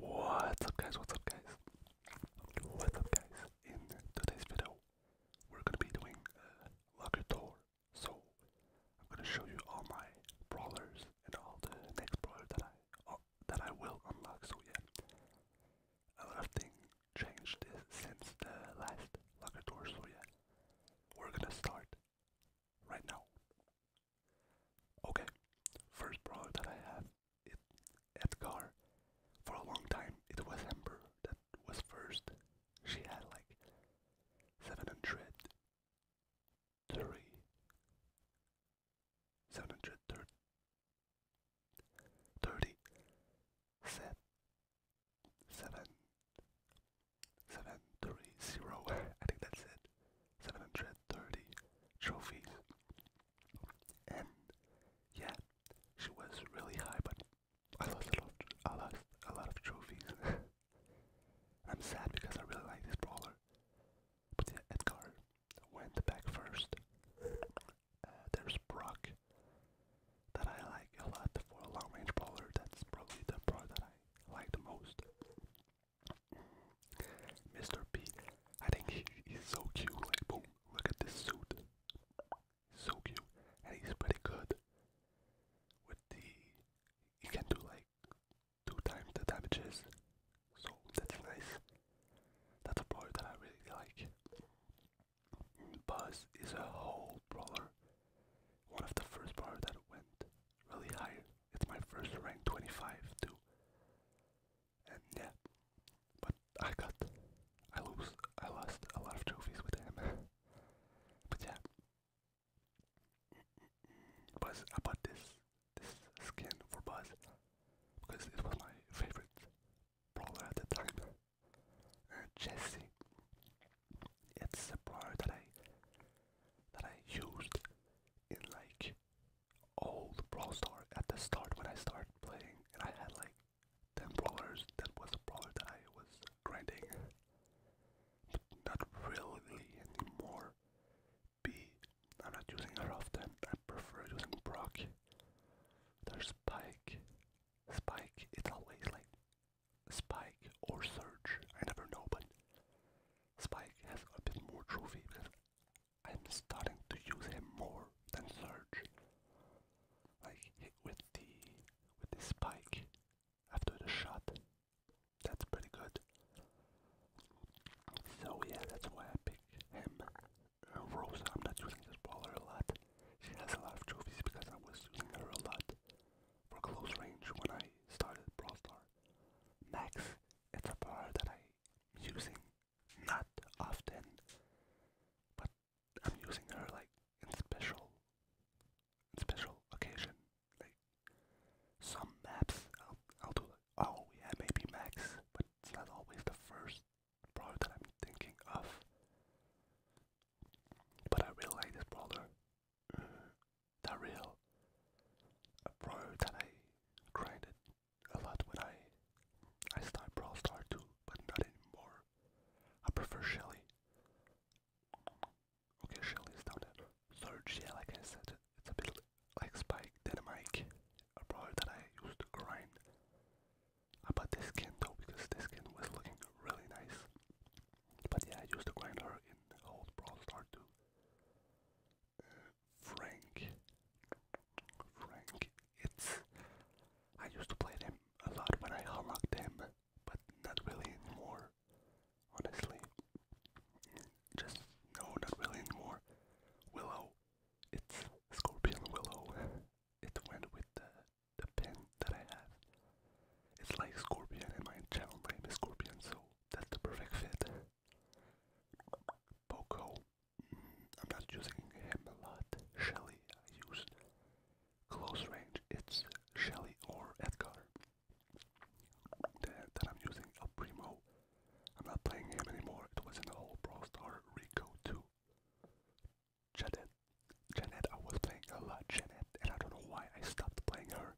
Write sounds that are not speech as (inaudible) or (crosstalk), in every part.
What's up guys, what's up guys? What's up guys? In today's video, we're gonna be doing a locker tour. So, I'm gonna show you all my brawlers and all the next brawler that I uh, that I will unlock. So yeah, a lot of things changed since the last locker tour. So yeah, we're gonna start right now. Okay, first brawler that I have it, Edgar. For a long time, it was Amber that was first. She had like 730. 730 set 7 730 (laughs) I think that's it 730 trophies. And yeah, she was really high, but I lost a lot I lost a lot of trophies. (laughs) I'm sad because I really like this brawler. But yeah, Edgar went back first. Uh, there's Brock that I like a lot for long range brawler. That's probably the brawler that I like the most. Mr. P, I think he, he's so cute. Like, boom, look at this suit. So cute. And he's pretty good with the. He can do like two times the damages. So that's nice. That's a brawler that I really like. Buzz is a whole brawler. One of the first brawler that went really high. It's my first rank 25 too. And yeah, but I got, I lose, I lost a lot of trophies with him. (laughs) but yeah, Buzz, I this this skin for Buzz because it was my favorite brawler at the time. Uh, Jesse, it's a brawler that I that I used in like old Brawl Star at the start when I started playing, and I had like 10 brawlers. That was a brawler that I was grinding, but not really anymore. B, I'm not using her often. I prefer using Brock. There's Spike. Spike, it's always like Spike or Surge. I never know, but Spike has a bit more trophy because I'm starting to use him more than Surge. Like with the with the spike after the shot. That's pretty good. So yeah, that's why I pick him. Uh, Rosa, I'm not using this brawler a lot. She has a lot of trophies because I was using her a lot for close range when I started Prostar. Star. Max it's a bar that I'm using not often, but I'm using her like in special, special occasion. Like some maps, I'll, do like, oh yeah, maybe max, but it's not always the first brawler that I'm thinking of. But I really like this brawler they real. A pro that I grinded a lot when I I started Brawl too, but not anymore. I prefer Shelley. Okay, Shelly's down there. Surge, yeah, like I said, it's a bit like Spike, Dynamite, a brawler that I used to grind. I bought this skin though because this skin was looking really nice. But yeah, I used to grind her in old Brawl too. Frank. Frank. It's. I used to play them a lot when I unlocked them, but not really anymore. Honestly. Just. No, not really anymore. Willow. It's Scorpion Willow. It went with the, the pen that I have. It's like Scorpion, and my channel name is Scorpion, so that's the perfect fit. Boko. Mm, I'm not using him a lot. Shelly, I used close range. It's Shelly or Edgar that, I'm using. El Primo. I'm not playing him anymore. It was in the whole Brawl Star Rico too. Janet. Janet, I was playing a lot. Janet, and I don't know why I stopped playing her.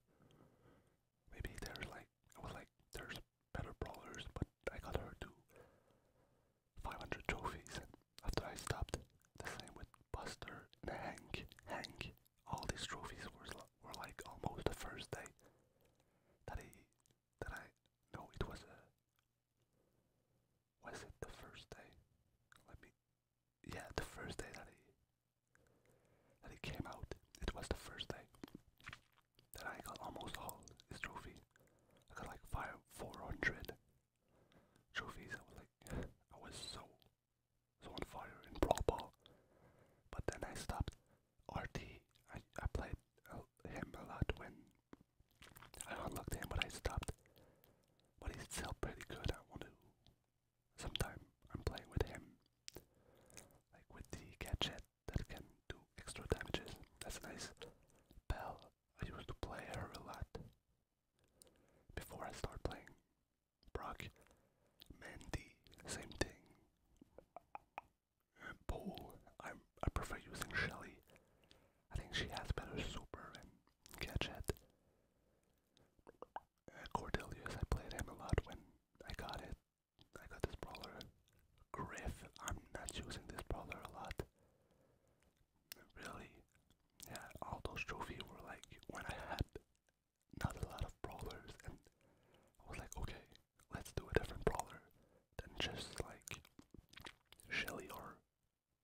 Maybe there's like I was like there's better brawlers, but I got her to 500 trophies And after I stopped. The same with Buster and Hank. Hank. All these trophies were were like almost the first day that he that I no it was a was it the first day? Let me yeah the first day that I that it came out, it was the first day that I got almost all this trophy. I got like five, 400 trophies. I was like, (sighs) I was so, so on fire in Brawl Ball. But then I stopped RT. I, I played him a lot when I unlocked him, but I stopped. But he's still pretty good. I want to sometime I'm playing with him, like with the gadget that can do extra damages. That's nice bell. I used to play her a lot before I start playing Brock, Mandy, same thing. Paul, I I prefer using Shelly. I think she has better super and gadget. Uh, I played him a lot when I got it. I got this brawler. Griff. I'm not using this brawler a lot. Really. Yeah, all those trophies were like when I had not a lot of brawlers and I was like, okay, let's do a different brawler than just like Shelly or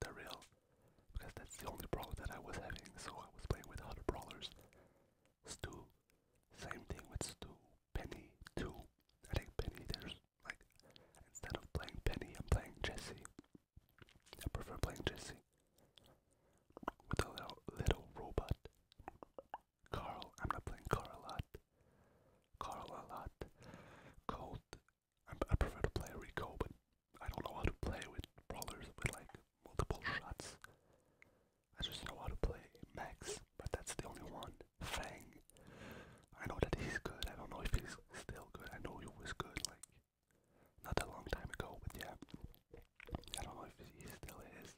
the Real, because that's the only brawler that I was having, so I was playing with other brawlers. Stu. Same thing with Stu. Penny too. I think Penny there's like instead of playing Penny I'm playing Jesse. I prefer playing Jesse. With a little little robot. Carl, I'm not playing Carl a lot. Carl a lot. Colt, i prefer to play Rico, but I don't know how to play with brawlers with like multiple shots. I just know how to play Max, but that's the only one. Fang. I know that he's good. I don't know if he's still good. I know he was good, like, not a long time ago, but yeah. I don't know if he still is.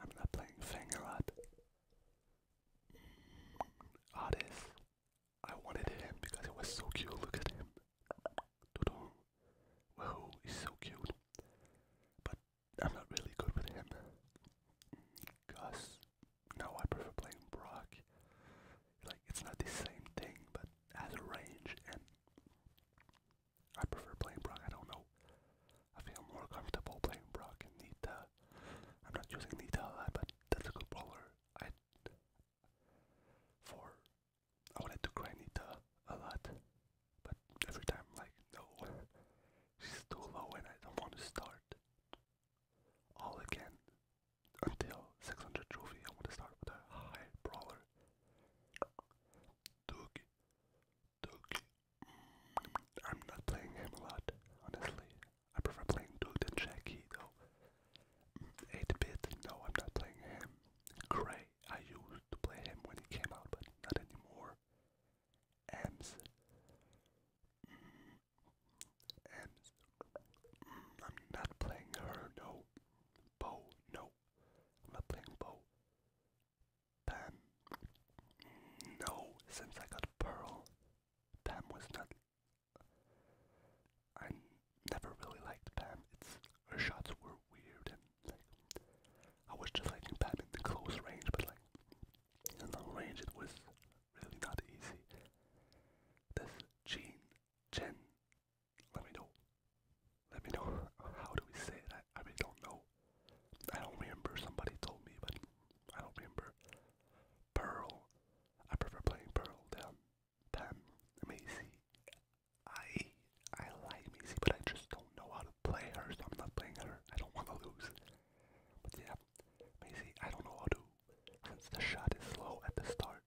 I'm not playing Fang a lot. Otis. Mm, I wanted him because it was so cute. Look at him. Whoa, he's so cute. But I'm not really good with him. Gus. No, I prefer playing Brock. Like, it's not the same thing, but has range, and I prefer playing Brock. I don't know. I feel more comfortable playing Brock and Nita. I'm not using Nita a lot, but that's a good brawler. I for I wanted to cry Nita a lot, but every time like, no, (laughs) she's too low and I don't want to start all again until 600 trophy. I want to start with a high brawler. Doogie, Doogie. Mm, I'm not playing him a lot, honestly. I prefer playing Duke than Jackie, though. Mm, 8 bit, no, I'm not playing him. Gray, I used to play him when he came out, but not anymore. Mm. Ems. Mm. I'm not playing her, no. Bo, no. I'm not playing Bo. Pam. No, since I got Pearl, Pam was not. I never really liked Pam. It's her shots were weird and like I was just liking Pam in the close range, but like in long range it was really not easy. This Jean Jen let me know. Let me know how do we say it? I, I really don't know. I don't remember somebody told me but I don't remember. Pearl. I prefer playing Pearl than time. Macy, I I like Macy, but I just don't know how to play her, so I'm not playing her. I don't want to lose. But yeah, Macy, I don't know how to. Since the shot is slow at the start,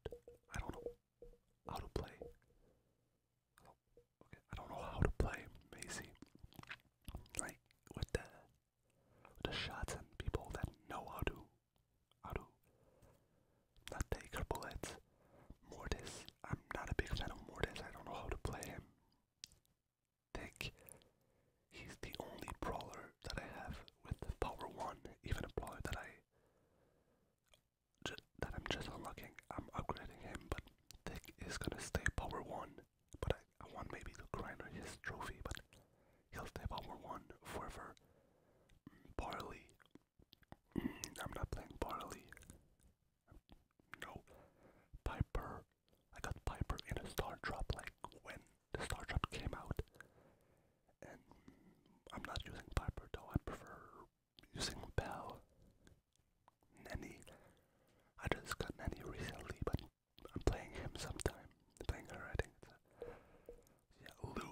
I don't know how to play. okay, I don't know how to play Macy. Like with the the shots and people that know how to how to not take her Mortis, I'm not a big fan of Mortis, I don't know how to play him. Thick, he's the only brawler that I have with power 1, even a brawler that I that I'm just unlocking, I'm upgrading him, but Thick is gonna stay power 1, but I, want maybe the Grinder his trophy, but he'll stay power 1 forever. Mm, Barley, Mm, I'm not playing barley. No. Piper. I got Piper in a Star Drop like when the Star Drop came out. And I'm not using Piper though, I prefer using Bell. Nanny. I just got Nanny recently, but I'm playing him sometime. playing her, I think. yeah, Lou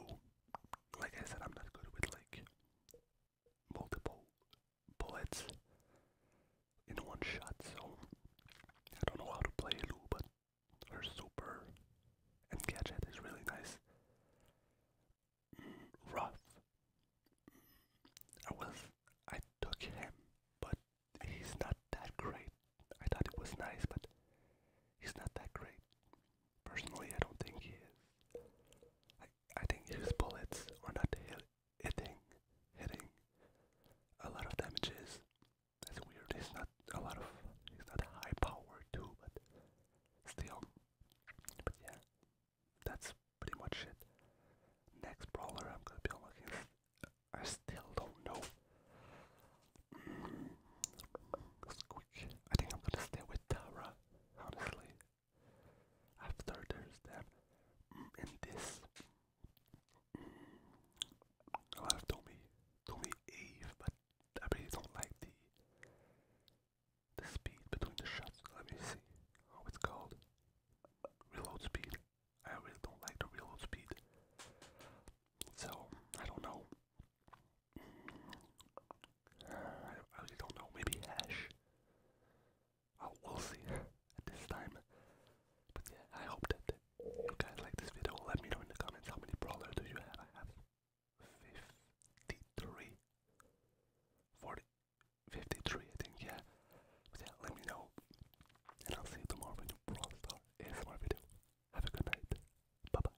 like I said, I'm not good with like multiple bullets in one shot, so I don't know how to play Lu, but her super and gadget is really nice. Mm, rough. I was, I took him, but he's not that great. I thought it was nice, but he's not that great. Personally, I don't think he is. I, I think his bullets are not hitting, hitting a lot of damages. That's weird. He's not a lot of, he's not high power too, but still. But yeah, that's pretty much it. Next brawler I'm gonna be looking. I still don't know. (clears throat) I think I'm gonna stay with Tara, honestly. After there's them mm, in this. Mm, A lot Tommy, Tommy Eve, but I really don't like the the speed between the shots. Let me see how it's called. Reload speed. I really don't like the reload speed. So I don't know. I really don't know, maybe hash. Oh, we'll see (laughs) at this time. But yeah, I hope that you guys like this video. Let me know in the comments how many brawlers do you have. I have 53. 40, 53, I think, yeah. But yeah, let me know. And I'll see you tomorrow in a Brawl Star ASMR video. Have a good night. Bye-bye.